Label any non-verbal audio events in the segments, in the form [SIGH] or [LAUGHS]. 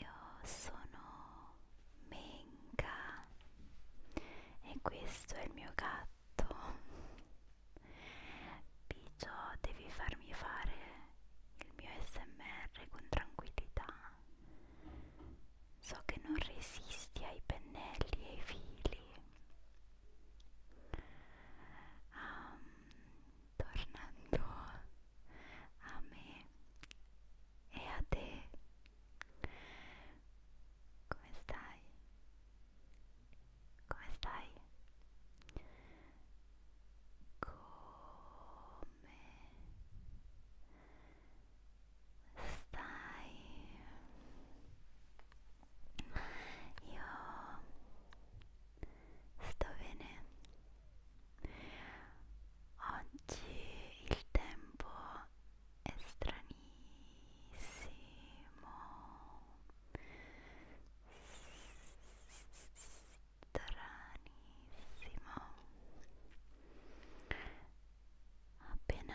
Io sono Menka e questo è il mio gatto. Pigio, devi farmi fare il mio SMR con tranquillità. So che non resisti ai pennelli e ai fili. Um, tornando a me e a te come stai? come stai? come stai? io sta bene oggi il tempo è stranissimo stranissimo appena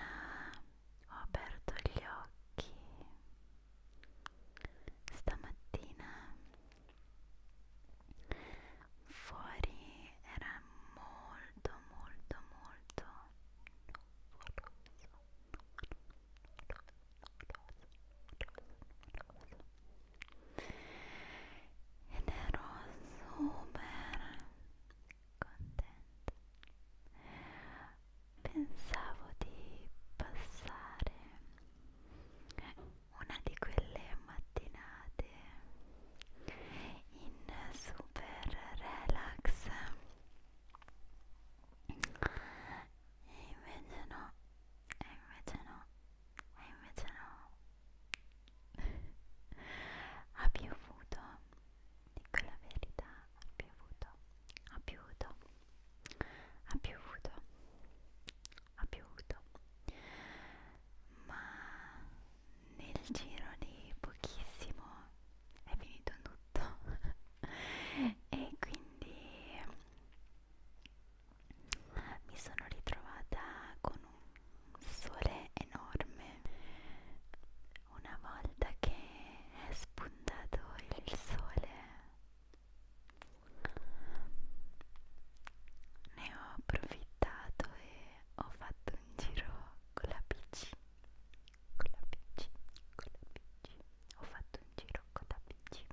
ho aperto gli occhi stamattina fuori era molto molto molto ed ero super contenta pensavo di passare una di quelle mattinate in super relax e invece no e invece no e invece no ha piovuto dico la verità ha piovuto ha piovuto ha piovuto ha piovuto ma nel giro di pochissimo è finito tutto [LAUGHS] e quindi mi sono ritrovata con un sole enorme una volta che è spuntato il sole ne ho approfittato e ho fatto un giro con la pc con la pc con la pc ho fatto un giro con la pc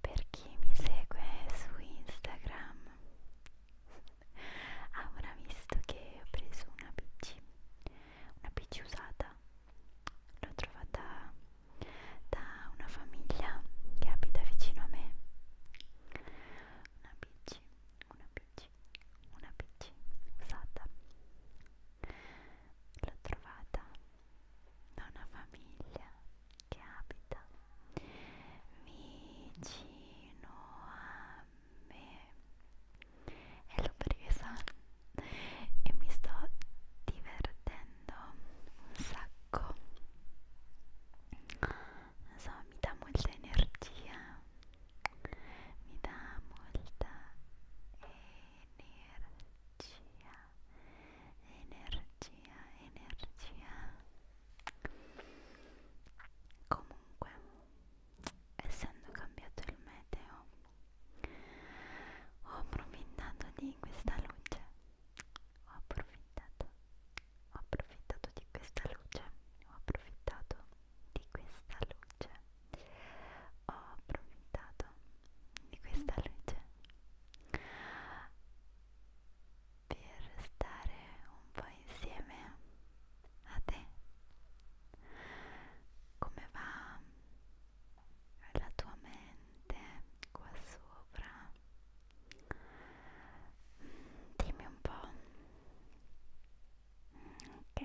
per chi mi segue su instagram [LAUGHS] avrà visto che ho preso una pc una pc usata l'ho trovata da una famiglia che abita vicino a me una bici, una bici, una bici usata l'ho trovata da una famiglia che abita vicino a me e l'ho presa e mi sto divertendo un sacco non so, mi dà molta energia mi dà molta energia energia energia comunque essendo cambiato il meteo ho approfittato di questa luce ho approfittato ho approfittato di questa luce ho approfittato di questa luce ho approfittato di questa luce per stare un po' insieme a te come va alla tua mente qua sopra dimmi un po' ok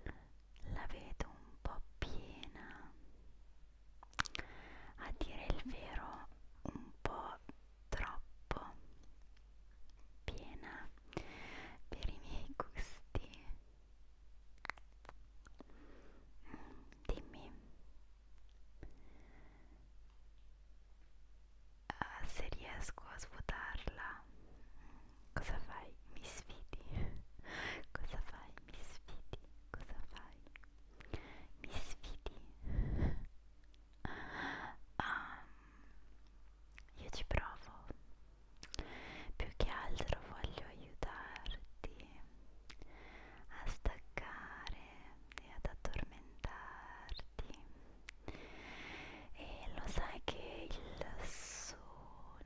ok la vedo un po' piena a dire il vero un po' troppo piena per i miei gusti mm, dimmi uh, se riesco a svuotarla cosa fai? mi sfidi [LAUGHS] cosa fai? mi sfidi cosa fai? mi sfidi Um, io ci provo più che altro voglio aiutarti a staccare e ad addormentarti. E lo sai che il sonno,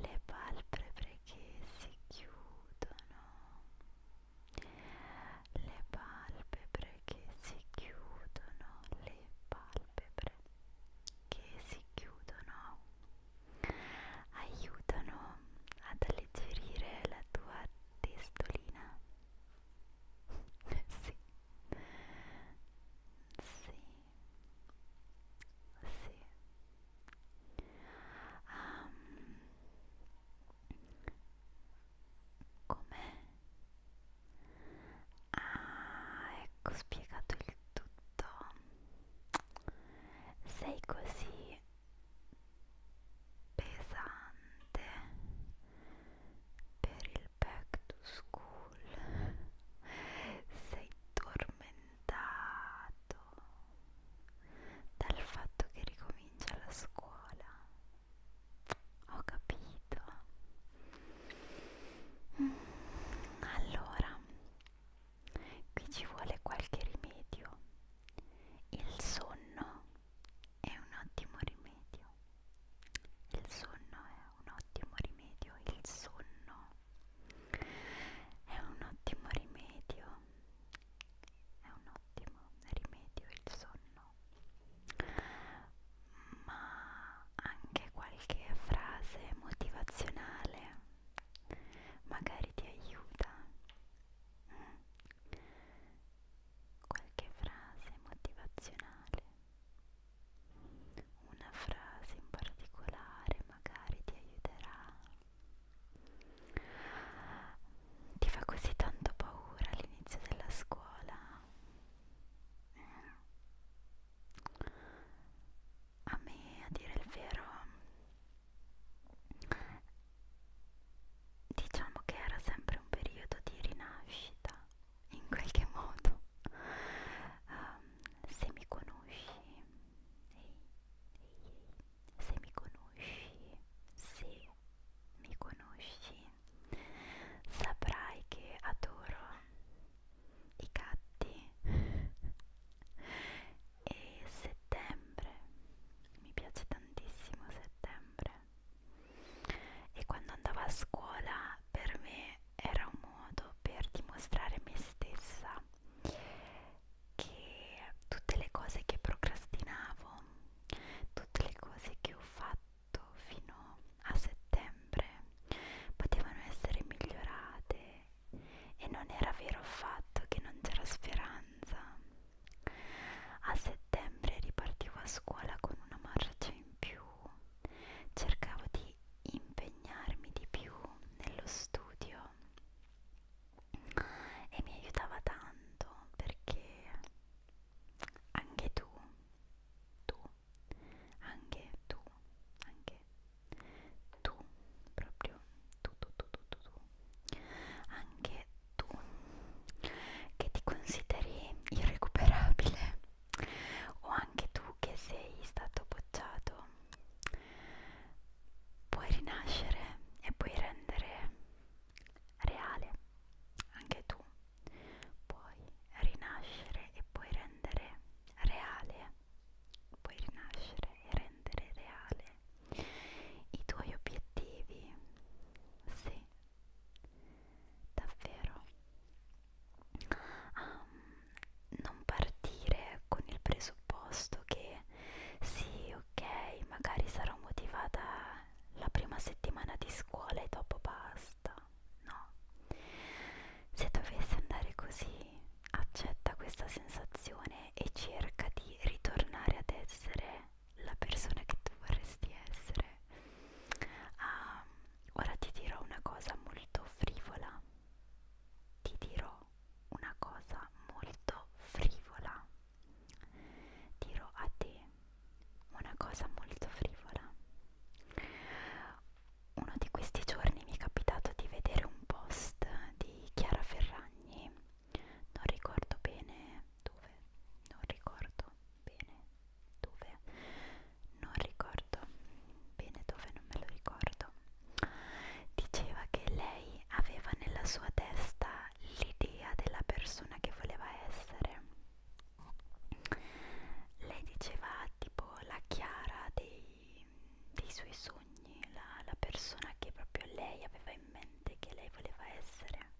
le palpebre che si chiudono, le palpebre che si chiudono, le palpebre che si chiudono aiutano ad alleggerire la tua testolina. [LAUGHS] sì, sì, sì. Um, Com'è Ah, ecco spiegato il tutto. Sei così pesante per il back to school. Sei tormentato dal fatto che ricomincia la scuola ho capito. Mm, allora, qui ci vuole qualche rimedio. Il sonno è un ottimo rimedio. Il sonno è un ottimo rimedio. Il sonno è un ottimo rimedio. È un ottimo rimedio il sonno ma anche qualche frase motivazionale magari ti aiuta mm. qualche frase motivazionale una frase in particolare magari ti aiuterà ti fa così tanto paura all'inizio della scuola a me a dire il vero diciamo che era sempre un periodo di rinascita in qualche [LAUGHS] modo um, se mi conosci ehi, ehi, se mi conosci se mi conosci saprai che adoro i gatti e settembre mi piace tantissimo settembre e quando andavo a scuola per me era un modo per dimostrare me stessa che tutte le cose che procrastinavo tutte le cose che ho fatto fino a settembre potevano essere migliorate e non era vero affatto che non c'era speranza. A settembre ripartivo a scuola con una marcia in più, cercavo di impegnarmi di più nello studio e mi aiutava tanto perché anche tu, tu anche tu, anche tu, proprio tu, tu, tu, tu, tu, tu, anche tu che ti consideri irrecuperabile o anche tu che sei stato bocciato, puoi rinascere e puoi rendere reale anche tu puoi rinascere e puoi rendere reale, puoi rinascere e rendere reale i tuoi obiettivi, sì, davvero. Um, non partire con il presupposto che sì, ok, magari sarò motivata la prima settimana di scuola e dopo basta no? Se dovesse andare così, accetta questa sensazione e cerca di ritornare ad essere la persona che tu vorresti essere. Ah, ora ti dirò una cosa molto frivola. Ti dirò una cosa molto frivola. Dirò a te una cosa molto frivola. Uno di questi giorni mi è capitato di vedere un post di Chiara Ferragni, non ricordo bene dove, non ricordo bene dove, non ricordo bene dove, non me lo ricordo. Diceva che lei aveva nella sua testa l'idea della persona che voleva essere lei diceva tipo la Chiara dei, dei suoi sogni, la, la persona che proprio lei aveva in mente, che lei voleva essere.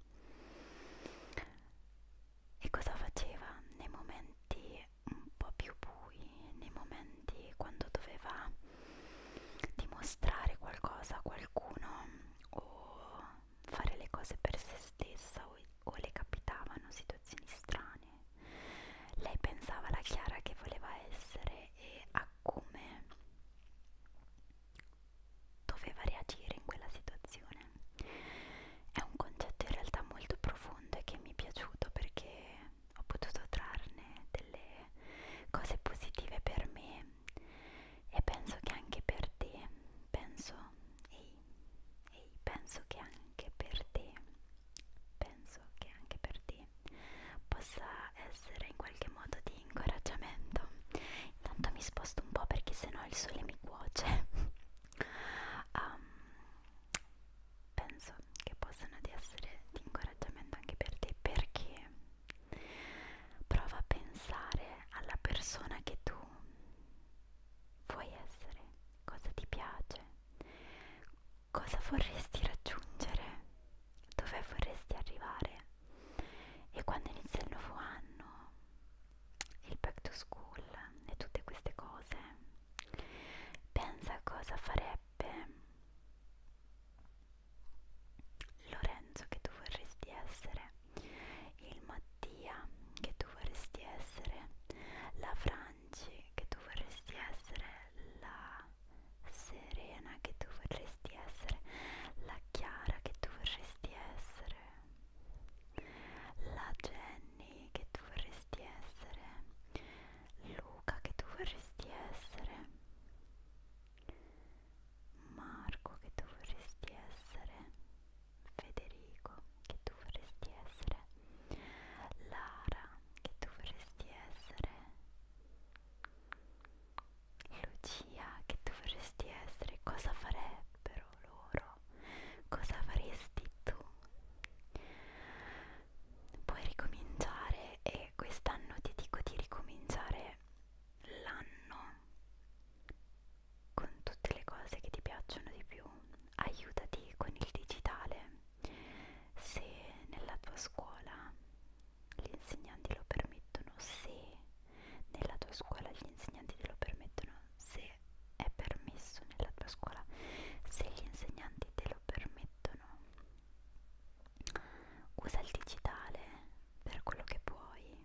E cosa faceva nei momenti un po' più bui, nei momenti quando doveva dimostrare qualcosa a qualcuno o fare le cose per se stessa o, o le capitavano situazioni strane. Lei pensava alla Chiara che voleva essere e a come doveva reagire in quella situazione. È un concetto in realtà molto profondo e che mi è piaciuto perché ho potuto trarne delle cose positive per me e penso che anche per te penso, ehi, ehi, penso che anche per te, penso che anche per te possa essere in qualche modo di incoraggiamento. Intanto mi sposto un po' perché sennò il sole mi cuoce. um, [LAUGHS] penso che possano di essere di incoraggiamento anche per te perché prova a pensare alla persona che tu vuoi essere, cosa ti piace, cosa vorresti raggiungere, dove vorresti arrivare. E quando inizia il nuovo anno, il back to school e tutte queste cose, pensa a cosa farebbe Lorenzo che tu vorresti essere il Mattia che tu vorresti essere, la Franci che tu vorresti essere, la Serena che tu vorresti essere, la Chiara che tu vorresti essere, la Jenny che tu vorresti essere, Luca che tu vorresti essere, Marco che tu vorresti essere Federico, che tu vorresti essere, Lara, che tu vorresti essere, Lucia, che tu vorresti essere, cosa farebbero loro? Cosa faresti tu? Puoi ricominciare e quest'anno ti dico di ricominciare l'anno con tutte le cose che ti piacciono di più, aiutati con il digitale. Se nella tua scuola gli insegnanti lo permettono, se nella tua scuola gli insegnanti te lo permettono, se è permesso nella tua scuola, se gli insegnanti te lo permettono, usa il digitale per quello che puoi,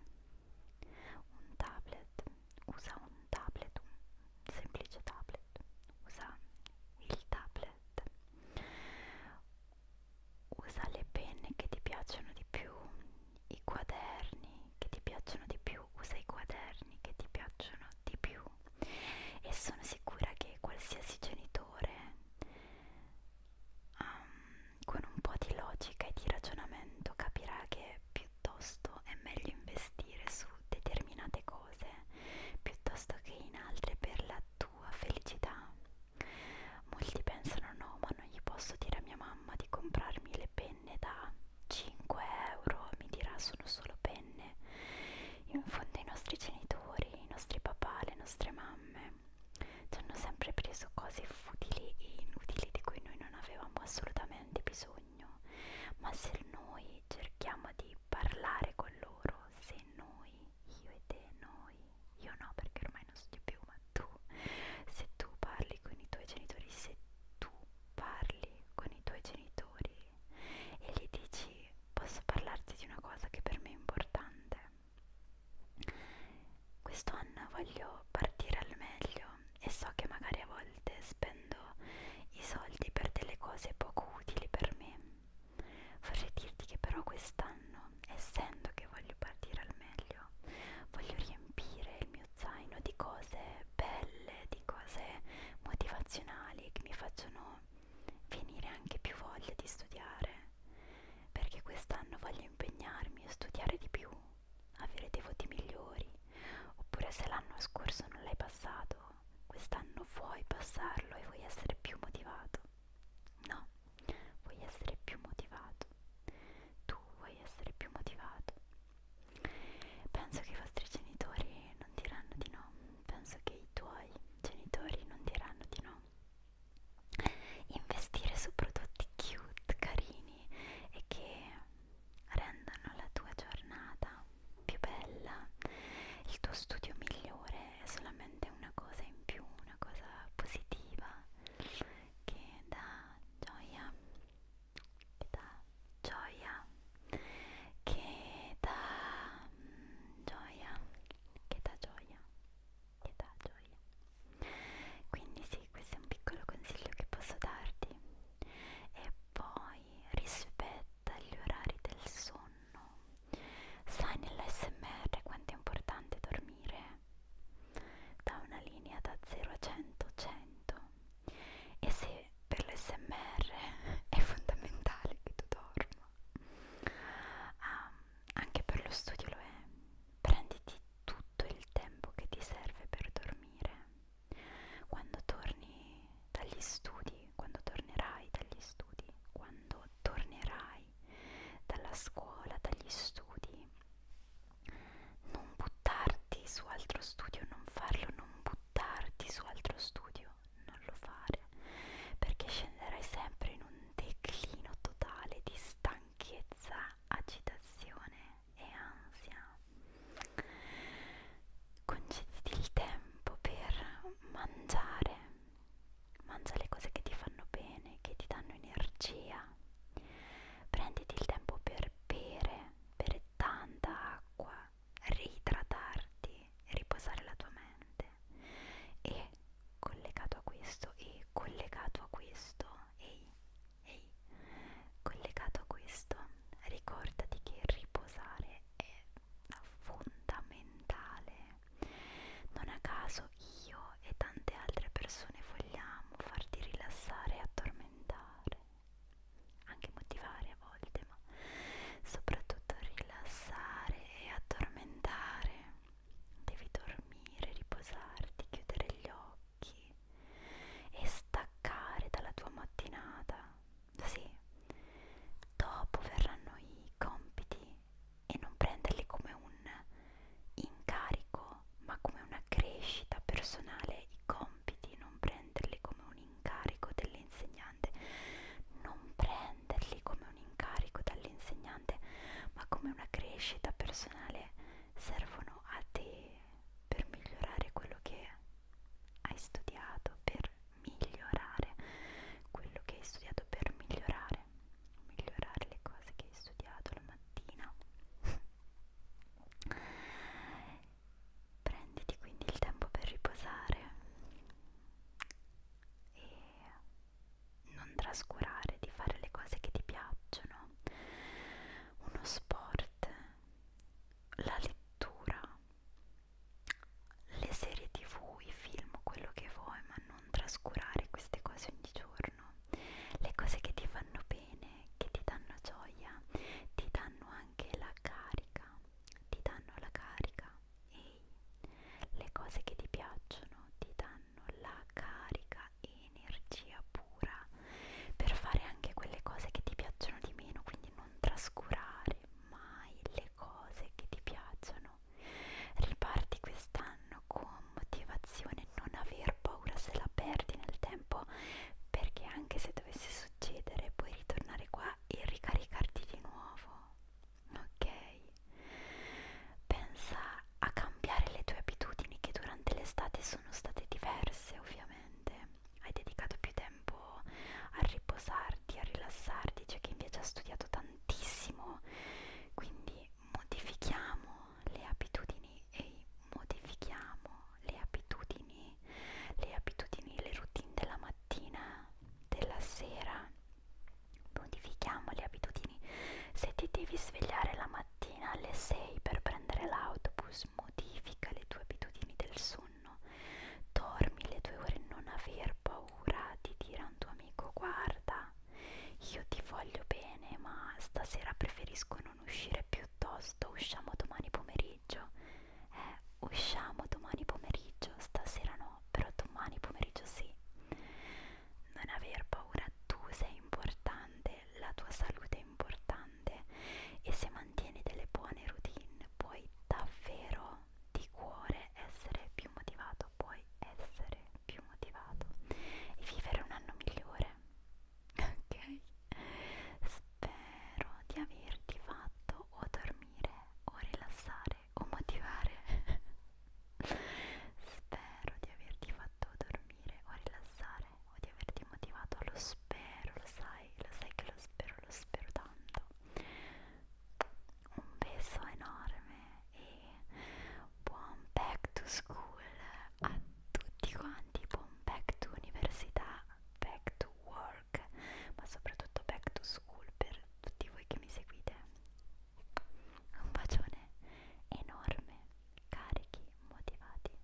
un tablet, usa un tablet, un semplice tablet, usa il tablet, usa le penne che ti piacciono di più, i quaderni che ti piacciono di più, usa i quaderni che ti piacciono di più e sono sicura che qualsiasi genitore um, con un po' di logica e di ragionamento capirà che più piuttosto è meglio investire su determinate cose piuttosto che in altre per la tua felicità. Molti pensano no, ma non gli posso dire a mia mamma di comprarmi le penne da 5 euro, mi dirà sono solo penne. In fondo i nostri genitori, i nostri papà, le nostre mamme ci hanno sempre preso cose futili e inutili di cui noi non avevamo assolutamente bisogno bisogno, ma se noi cerchiamo di parlare con loro, se noi, io e te, noi, io no perché ormai non studio più, ma tu, se tu parli con i tuoi genitori, se tu parli con i tuoi genitori e gli dici posso parlarti di una cosa che per me è importante, quest'anno voglio partire al meglio e so che magari a volte spendo i soldi per delle cose poco utili per me. Vorrei dirti che però quest'anno, essendo che voglio partire al meglio, voglio riempire il mio zaino di cose belle, di cose motivazionali che mi facciano venire anche più voglia di studiare perché quest'anno voglio impegnarmi e studiare di più avere dei voti migliori, oppure se l'anno scorso non l'hai passato, quest'anno vuoi passarlo e vuoi essere più motivato. No, vuoi essere più motivato. Tu vuoi essere più motivato. Penso che i vostri genitori non diranno di no, penso che i tuoi genitori non diranno di no. Investire su prodotti cute, carini e che rendono la tua giornata più bella, il tuo studio migliore è solamente una cosa in più, una cosa positiva che dà gioia, che dà gioia, che dà mm, gioia, che dà gioia, che dà gioia. Quindi sì, questo è un piccolo consiglio che posso darti e poi rispetta gli orari del sonno. Sai nell'SMR quanto è importante dormire? Da una linea da 0 a 100, 100. E se per l'SMR è fondamentale che tu dorma, ah, anche per lo studio lo è. Prenditi tutto il tempo che ti serve per dormire. Quando torni dagli studi, quando tornerai dagli studi, quando tornerai dalla scuola, dagli studi, non buttarti su altro studio, non farlo, non buttarti su altro studio, non lo fare, perché scenderai sempre in un declino totale di stanchezza, agitazione e ansia. Concediti il tempo per mangiare, mangia le cose che ti fanno bene, che ti danno energia. Prenditi il tempo per bere, bere tanta acqua, riidratarti, riposare la tua mente. E collegato a questo, e collegato a questo, ehi, Ehi, collegato a questo, ricordati che riposare è fondamentale. Non a caso io e tante altre persone vogliamo farti rilassare e addormentare, anche motivare a volte, ma soprattutto rilassare e addormentare. Devi dormire, riposarti, chiudere gli occhi occhi e staccare dalla tua mattinata. Sì, dopo verranno i compiti e non prenderli come un incarico, ma come una crescita personale. I compiti, non prenderli come un incarico dell'insegnante, non prenderli come un incarico dall'insegnante, ma come una crescita personale servono a te per migliorare quello che hai studiato, per migliorare quello che hai studiato, per migliorare, migliorare le cose che hai studiato la mattina. Prenditi quindi il tempo per riposare e non trascurare di fare le cose che ti piacciono. Uno sport la lettura, le serie tv, i film, quello che vuoi, ma non trascurare queste cose ogni giorno, le cose che ti fanno bene, che ti danno gioia, ti danno anche la carica, ti danno la carica, ehi, le cose che ti piacciono ti danno la carica, energia pura per fare anche quelle cose che ti piacciono di meno, quindi non trascurare mai le cose che ti piacciono. Riparti quest'anno con motivazione, non aver paura se la perdi nel tempo, perché anche se dovesse succedere puoi ritornare qua e ricaricarti di nuovo. Ok? Pensa a cambiare le tue abitudini che durante l'estate sono state diverse ovviamente hai dedicato più tempo a riposarti, a rilassarti, c'è cioè chi invece ha studiato tantissimo, quindi modifichiamo le abitudini e modifichiamo le abitudini, le abitudini, le routine della mattina, della sera, modifichiamo le abitudini, se ti devi svegliare la mattina alle 6 per prendere l'autobus, Focus modifica le tue abitudini del sonno. Dormi le tue ore, non aver paura di dire a un tuo amico: Guarda, io ti voglio bene, ma stasera preferisco non uscire piuttosto. Usciamo domani pomeriggio. Eh, usciamo domani pomeriggio, stasera no, però domani pomeriggio sì. Non aver paura, tu sei importante, la tua salute importante e se mantieni delle buone routine puoi davvero di cuore essere più motivato, puoi essere più motivato e vivere un anno migliore. [LAUGHS] Ok? Spero di averti fatto o dormire o rilassare o motivare. [LAUGHS] Spero di averti fatto dormire o rilassare di averti motivato, lo spero, lo sai, lo sai che lo spero, lo spero tanto. Un peso enorme e buon back to school a tutti quanti, buon back to università, back to work, ma soprattutto back to school per tutti voi che mi seguite. Un bacione enorme, carichi, motivati.